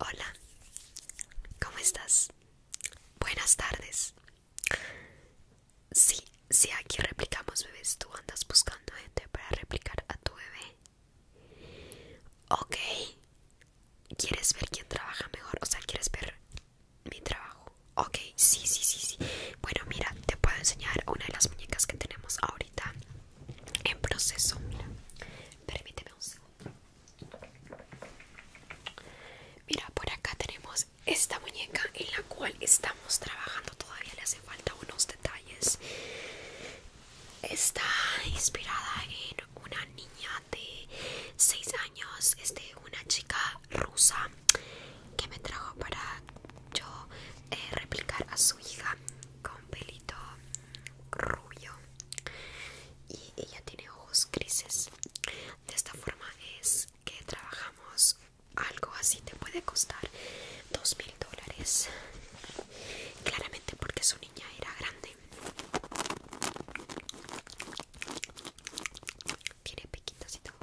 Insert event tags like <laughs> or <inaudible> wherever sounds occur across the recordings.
Hola, ¿cómo estás? Buenas tardes. Sí, sí, aquí replicamos bebés. Tú andas buscando gente para replicar a tu bebé. Ok. ¿Quieres ver quién trabaja mejor? O sea, ¿quieres ver mi trabajo? Ok, sí, sí, sí, sí. Bueno, mira, te puedo enseñar una de las muñecas que tenemos ahorita en proceso. Mira, permíteme un segundo. Mira, por acá tenemos esta muñeca en la cual estamos trabajando. Todavía le hace falta unos detalles. Está inspirada en una niña de 6 años, es de una chica rusa que me trajo para yo eh, replicar a su hija con pelito rubio y ella tiene ojos grises. De esta forma es que trabajamos algo así, te puede costar dos mil dólares. Claramente porque su niña era grande. Tiene piquitos y todo.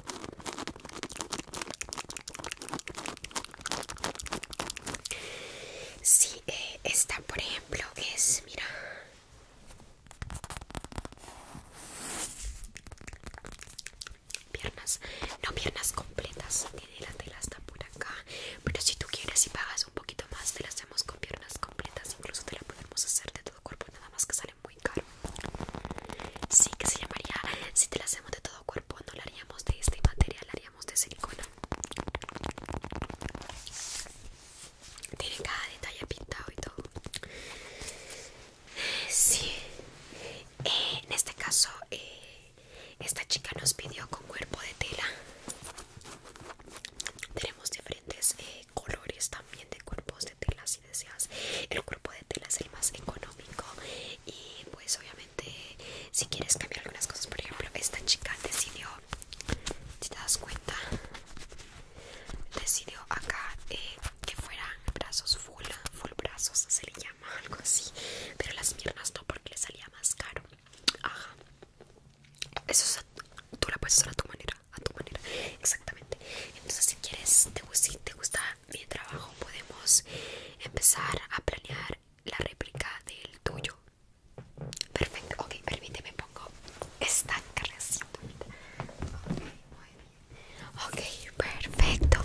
Si eh, esta por ejemplo es, mira Piernas, no piernas completas, tiene la tela está por acá Pero si tú quieres y pagas un poquito más te la hacemos con piernas completas Incluso te la podemos hacer de todo cuerpo, nada más que sale muy caro Sí, que se llamaría, si te la hacemos de todo cuerpo no la haríamos de este material, la de silicona tiene cada detalle pintado y todo sí eh, en este caso eh, esta chica nos pidió con cuerpo de tela tenemos diferentes eh, colores también de cuerpos de tela si deseas el cuerpo de tela es el más económico y pues obviamente si quieres cambiar algunas cosas por ejemplo esta chica decidió si te das cuenta decidió acá eh, que fueran brazos full full brazos se le llama <laughs> algo así pero las piernas no porque le salía más caro ajá eso es tú la puedes hacer a tu manera a tu manera exactamente entonces si quieres si te gusta mi trabajo podemos empezar a planear la réplica del tuyo Perfecto, ok, permíteme pongo esta creación. Ok, muy bien. Ok, perfecto.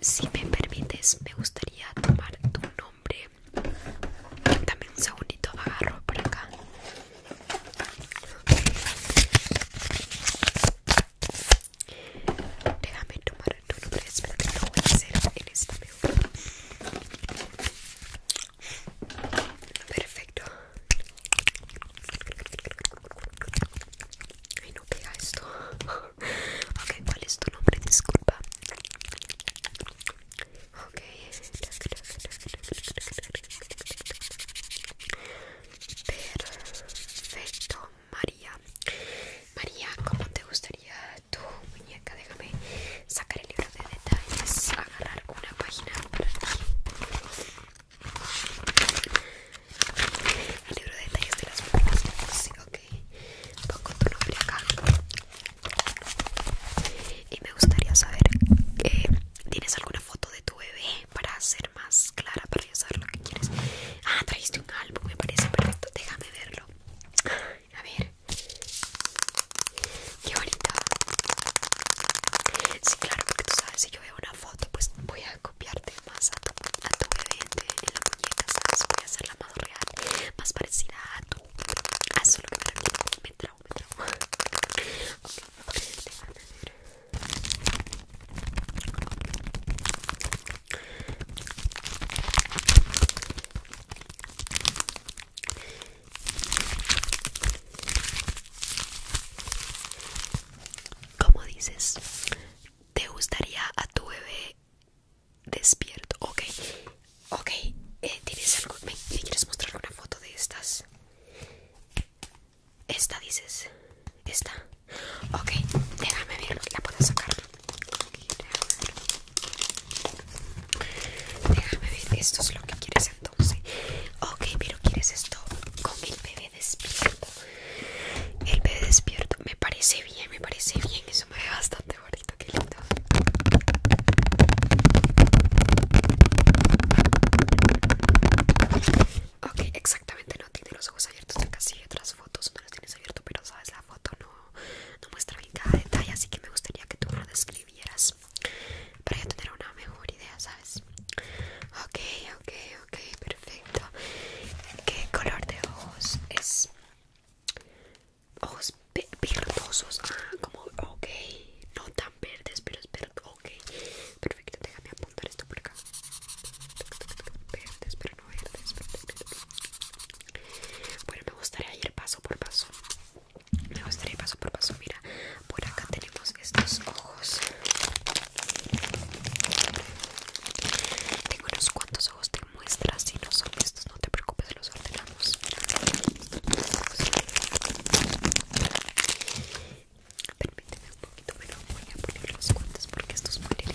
Si me permites, me gustaría tomar tu nombre. Dame un segundito, agarro por acá. Déjame tomar tu nombre, es que lo voy en esta Perfecto Ay no pega esto <laughs> Ok, ¿cuál es tu nombre? Disculpa Ok Perfecto, María María, ¿cómo te gustaría tu muñeca? Déjame sacar el libro de detalles, agarrar una página para ti. El libro de detalles de las muñecas. Sí, ok. Pongo tu nombre acá. Y me gustaría saber, eh, ¿tienes alguna foto de tu bebé para ser más clara, para ya saber lo que quieres? Ah, trajiste un álbum, me parece perfecto. Déjame verlo. A ver. y ahorita Sí, claro, porque tú sabes, si yo veo una foto, pues voy a copiarte más a tu, a tu bebé en la muñeca, ¿sabes? Voy a hacerla más real, más parecida a tu. A solo lo que me trago, me trago. Me ¿Cómo dices? ¿Te gustaría a tu bebé despierto? Ok, ok. Eh, ¿Tienes algo? quieres mostrar una foto de estas? Esta dices, esta. Ok, déjame verlos. La puedo sacar. Déjame ver, esto es lo que quieres entonces. Ok, pero quieres esto con el bebé despierto. El bebé despierto, me parece bien, me parece bien. Eso me ve bastante bonito, qué lindo. Ok, exactamente, no tiene los ojos abiertos. Acá sigue otras fotos, no los tienes abierto, pero sabes la foto, no no muestra bien cada detalle, así que me gustaría que tú lo describieras para yo tener una mejor idea, ¿sabes? Ok, ok, ok, perfecto. ¿Qué color de ojos es? Ojos verdosos, ah, como, ok, no tan verdes, pero es verde, ok, perfecto, déjame apuntar esto por acá. Verdes, bueno, me gustaría ir paso por paso. Me gustaría ir paso por paso. Mira, por acá tenemos estos ojos. Tengo unos cuantos ojos de muestra. Si no son estos, no te preocupes, los ordenamos. Permíteme un poquito, pero voy a poner los cuantos porque estos pueden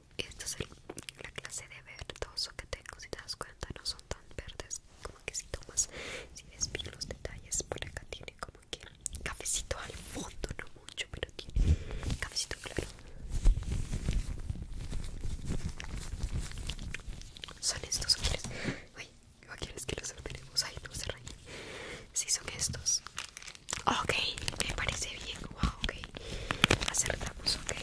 Esta es la clase de verdoso que tengo. Si te das cuenta, no son tan verdes. Como que si tomas, si ves bien los detalles, por acá tiene como que cafecito al fondo, no mucho, pero tiene cafecito claro. Son estos, ¿o quieres? Ay, ¿o quieres que los ordenemos? Ay, no se rayen. Si sí, son estos. Ok, me parece bien. Wow, ok. Acertamos, ok.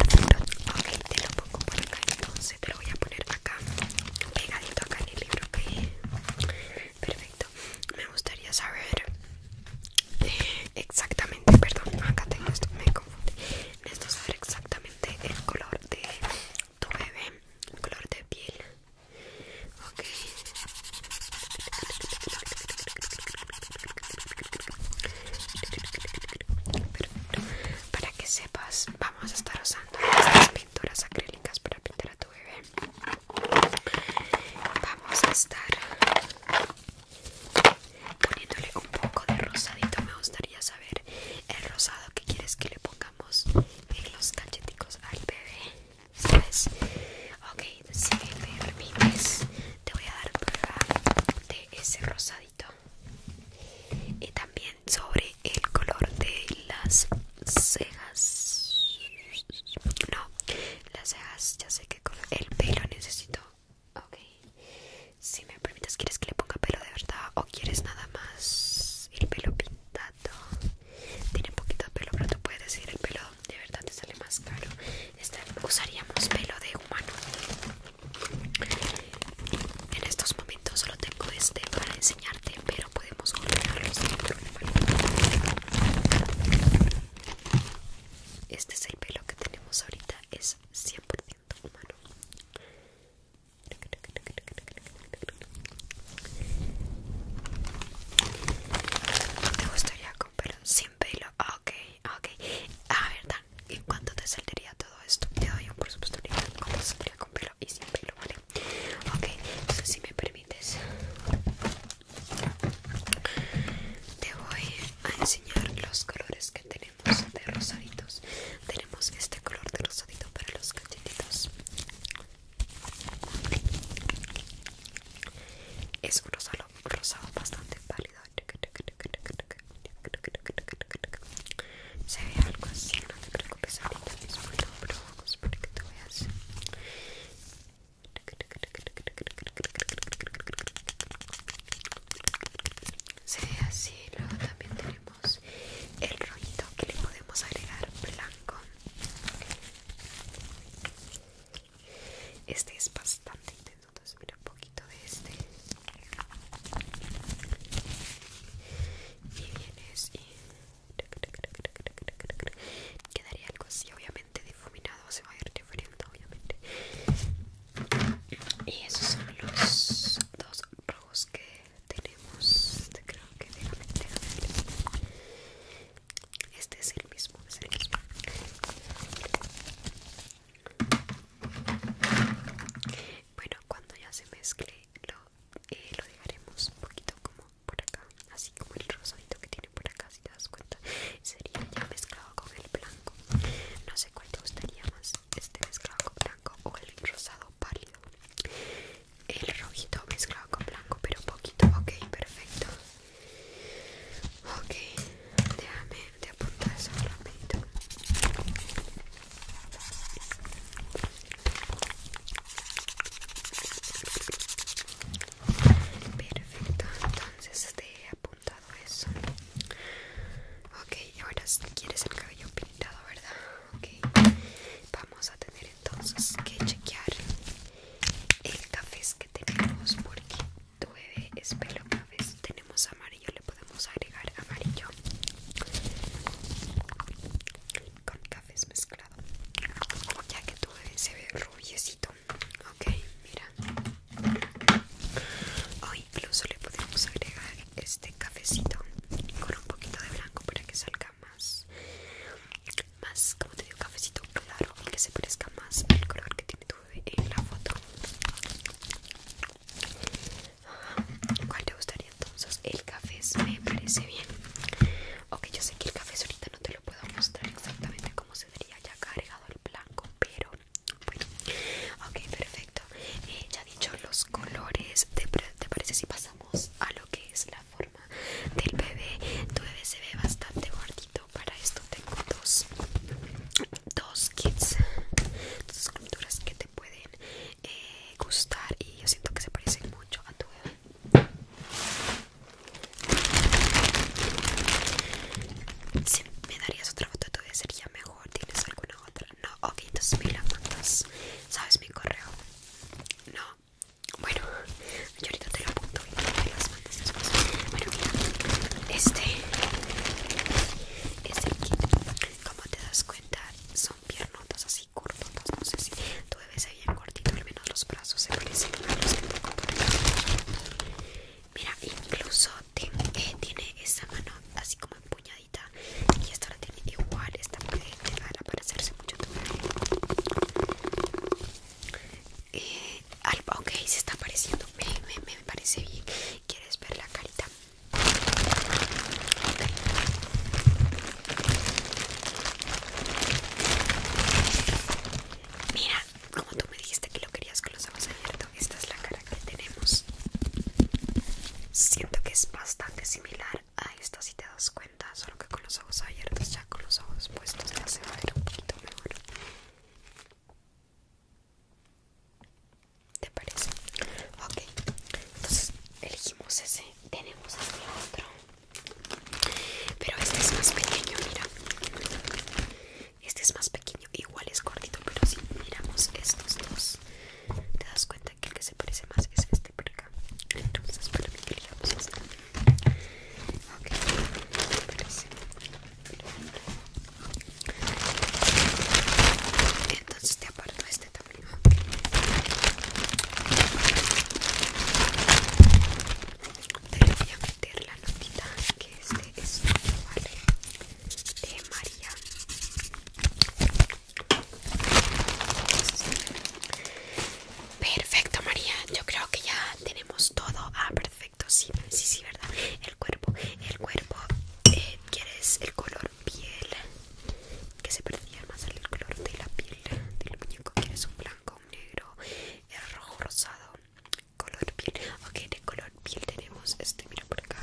Perfecto. Ok, te lo pongo por acá. Entonces te lo voy a poner acá. Pegadito acá en el libro, ok. Perfecto. Me gustaría saber Exactamente, perdón, acá tengo esto, me confundí. Necesito saber exactamente el color de tu bebé, el color de piel. Ok. Para que sepas, vamos a estar usando estas pinturas acrílicas para pintar a tu bebé. Vamos a estar Poniéndole un poco de rosadito me gustaría saber el rosado que quieres que le pongamos en los cacheticos al bebé, ¿sabes? Ok, si me permites te voy a dar prueba de ese rosadito y también sobre el color de las cejas no las cejas ya sé que color el pelo necesito Ok. Si me permites, ¿quieres que le ponga pelo de verdad o quieres nada más el pelo pintado? Tiene poquito pelo, pero tú puedes decir el pelo de verdad, te sale más caro. Este, usaríamos pelo de humano. En estos momentos solo tengo este para enseñarte, pero podemos ordenarlo Este es el pelo que tenemos ahorita es 100% humano. ¿Te gustaría con pelo? sin pelo? Ah, ok, ah, ok. A ver, ¿en cuánto te saldría todo esto? Te doy un por supuesto cuánto saldría con pelo y sin pelo, ¿vale? Ok, entonces si me permites te voy a enseñar los colores que tenemos de rosaditos. Tenemos este color de rosadito para los cachetitos. Es un rosado, bastante pálido. Se ve algo así, no te preocupes ahorita mismo, no, pero vamos porque te voy a hacer se ve así, luego también tenemos el rollito que le podemos agregar blanco. Este es bastante intenso, entonces mira un poquito de este. Y vienes y quedaría algo así, obviamente difuminado se va a ir diferente obviamente y esos son los dos rojos que tenemos este creo que déjame, este es el mismo es el bueno cuando ya se mezcle lo, eh, lo dejaremos un poquito como por acá así como el rosadito que tiene por acá si te das cuenta sería ya mezclado con el blanco no sé cuál te gustaría más este mezclado con blanco o el rosado pálido el rojito mezclado con blanco pero poquito ok perfecto ok déjame de apuntar eso Ok Perfecto, entonces te he apuntado eso. Ok, ahora si quieres el cabello pintado, ¿verdad? Ok, vamos a tener entonces que chequear el café que tenemos porque tu bebé es pelo café, Tenemos amarillo, le podemos agregar amarillo con cafés mezclado, ya que tu bebé se ve rubiecito ok, mira hoy incluso le podemos agregar este cafecito con un poquito de blanco para que salga más más como te digo cafecito claro y que se parezca más al color que tiene tu bebé en la foto ¿Cuál te gustaría entonces? El café me parece bien. Ok, yo sé que el café ahorita no te lo puedo mostrar exactamente cómo se vería ya cargado el blanco, pero bueno, ok, perfecto. Eh, ya dicho los colores, ¿te, parece si pasamos a lo que es la forma del bebé? Tu bebé se ve bastante gordito, para esto tengo dos, dos kits, dos esculturas que te pueden eh, gustar y yo siento que se parecen mucho a tu bebé. Si me darías otra foto ser sería mejor, ¿tienes alguna otra? No, ok, entonces me la mandas. ¿Sabes mi correo? No. Bueno, yo ahorita te lo apunto y te las mandas Bueno, mira, este, este kit, como te das cuenta, son piernotas así cortotas. No sé si tú debes bien cortito, al menos los brazos se parecen Mira, incluso eh, tiene, esa mano así como empuñadita y esta la tiene igual, esta puede llegar a mucho a eh, Ok, se está apareciendo me, me, me parece bien. ¿Quieres ver la carita? Mira, como tú me dijiste que lo querías con los ojos abiertos, esta es la cara que tenemos. Siento que es bastante similar a esta si te das cuenta, solo que con los ojos abiertos, ya con los ojos puestos se va un poquito mejor. ¿Te parece? Ok, entonces elegimos ese, tenemos aquí otro. Pero este es más pequeño, mira. Este es más pequeño, igual es cortito, pero si miramos estos dos, te das cuenta que el que se parece más es este por acá. Entonces, para mí que este. Ok, Entonces te aparto este también te voy a meter la notita que este es de ¿vale? De María. Perfecto, María. Yo creo que ya tenemos todo. Ah, perfecto. Sí, sí, sí, ¿verdad? El cuerpo, el cuerpo. Eh, ¿Quieres el color piel? Que se perdía más el color de la piel del muñeco. ¿Quieres un blanco? Con negro, el eh, rojo rosado, color piel. Ok, de color piel tenemos este, mira por acá.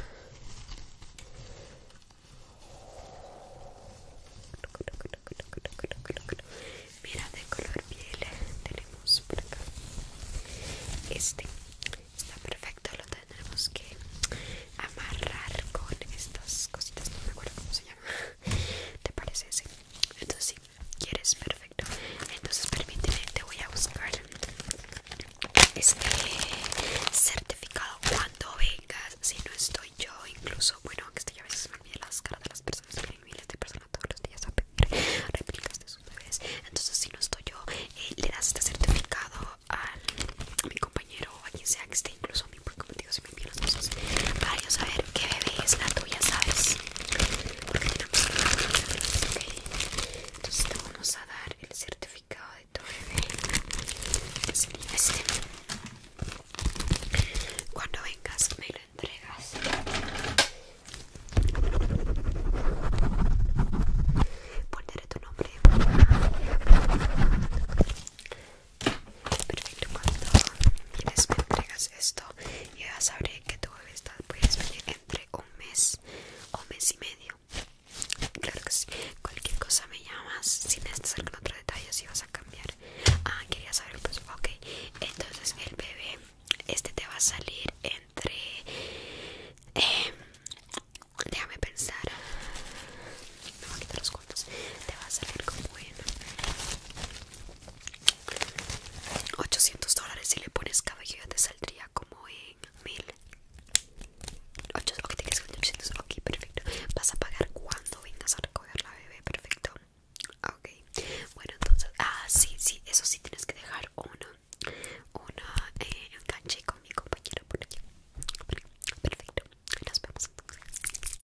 Mira, de color piel tenemos por acá. Este está perfecto, lo tendremos que amarrar con estas cositas, no me acuerdo cómo se llama. ¿Te parece ese? Entonces sí, ¿Quieres? Perfecto. Entonces permíteme, te voy a buscar este certificado cuando vengas. Si no estoy yo, incluso, bueno, que estoy a veces me olvido las caras de las personas, vienen miles de personas todos los días a pedir réplicas de sus bebés. Entonces, si no estoy yo, eh, le das este certificado al, a mi compañero o a quien sea que esté, incluso a mí, porque como digo, para yo saber qué bebé es la tuya, ¿sabes? Porque Entonces te vamos a dar el certificado de tu bebé. este. Cuando vengas me lo entregas. Pondré tu nombre. Perfecto, cuando les me entregas esto, ya sabré que tu bebé está, puedes venir entre un mes o mes y medio. Claro que sí, cualquier cosa me llamas, si necesitas algún otro detalle, si vas a cambiar. Ah, quería saber, pues, ok. Entonces, el bebé, este te va a salir entre. Em, déjame pensar. Me voy a quitar los cuantos. Te va a salir como en 800 dólares si le pones cabello te saldría como en 1000 800 ok, 800, ok, perfecto Vas a pagar cuando vengas a recoger la bebé, perfecto Ok, bueno entonces, ah sí, sí, eso sí tienes que dejar una, una, eh, enganche con mi compañero por aquí Perfecto, nos vemos entonces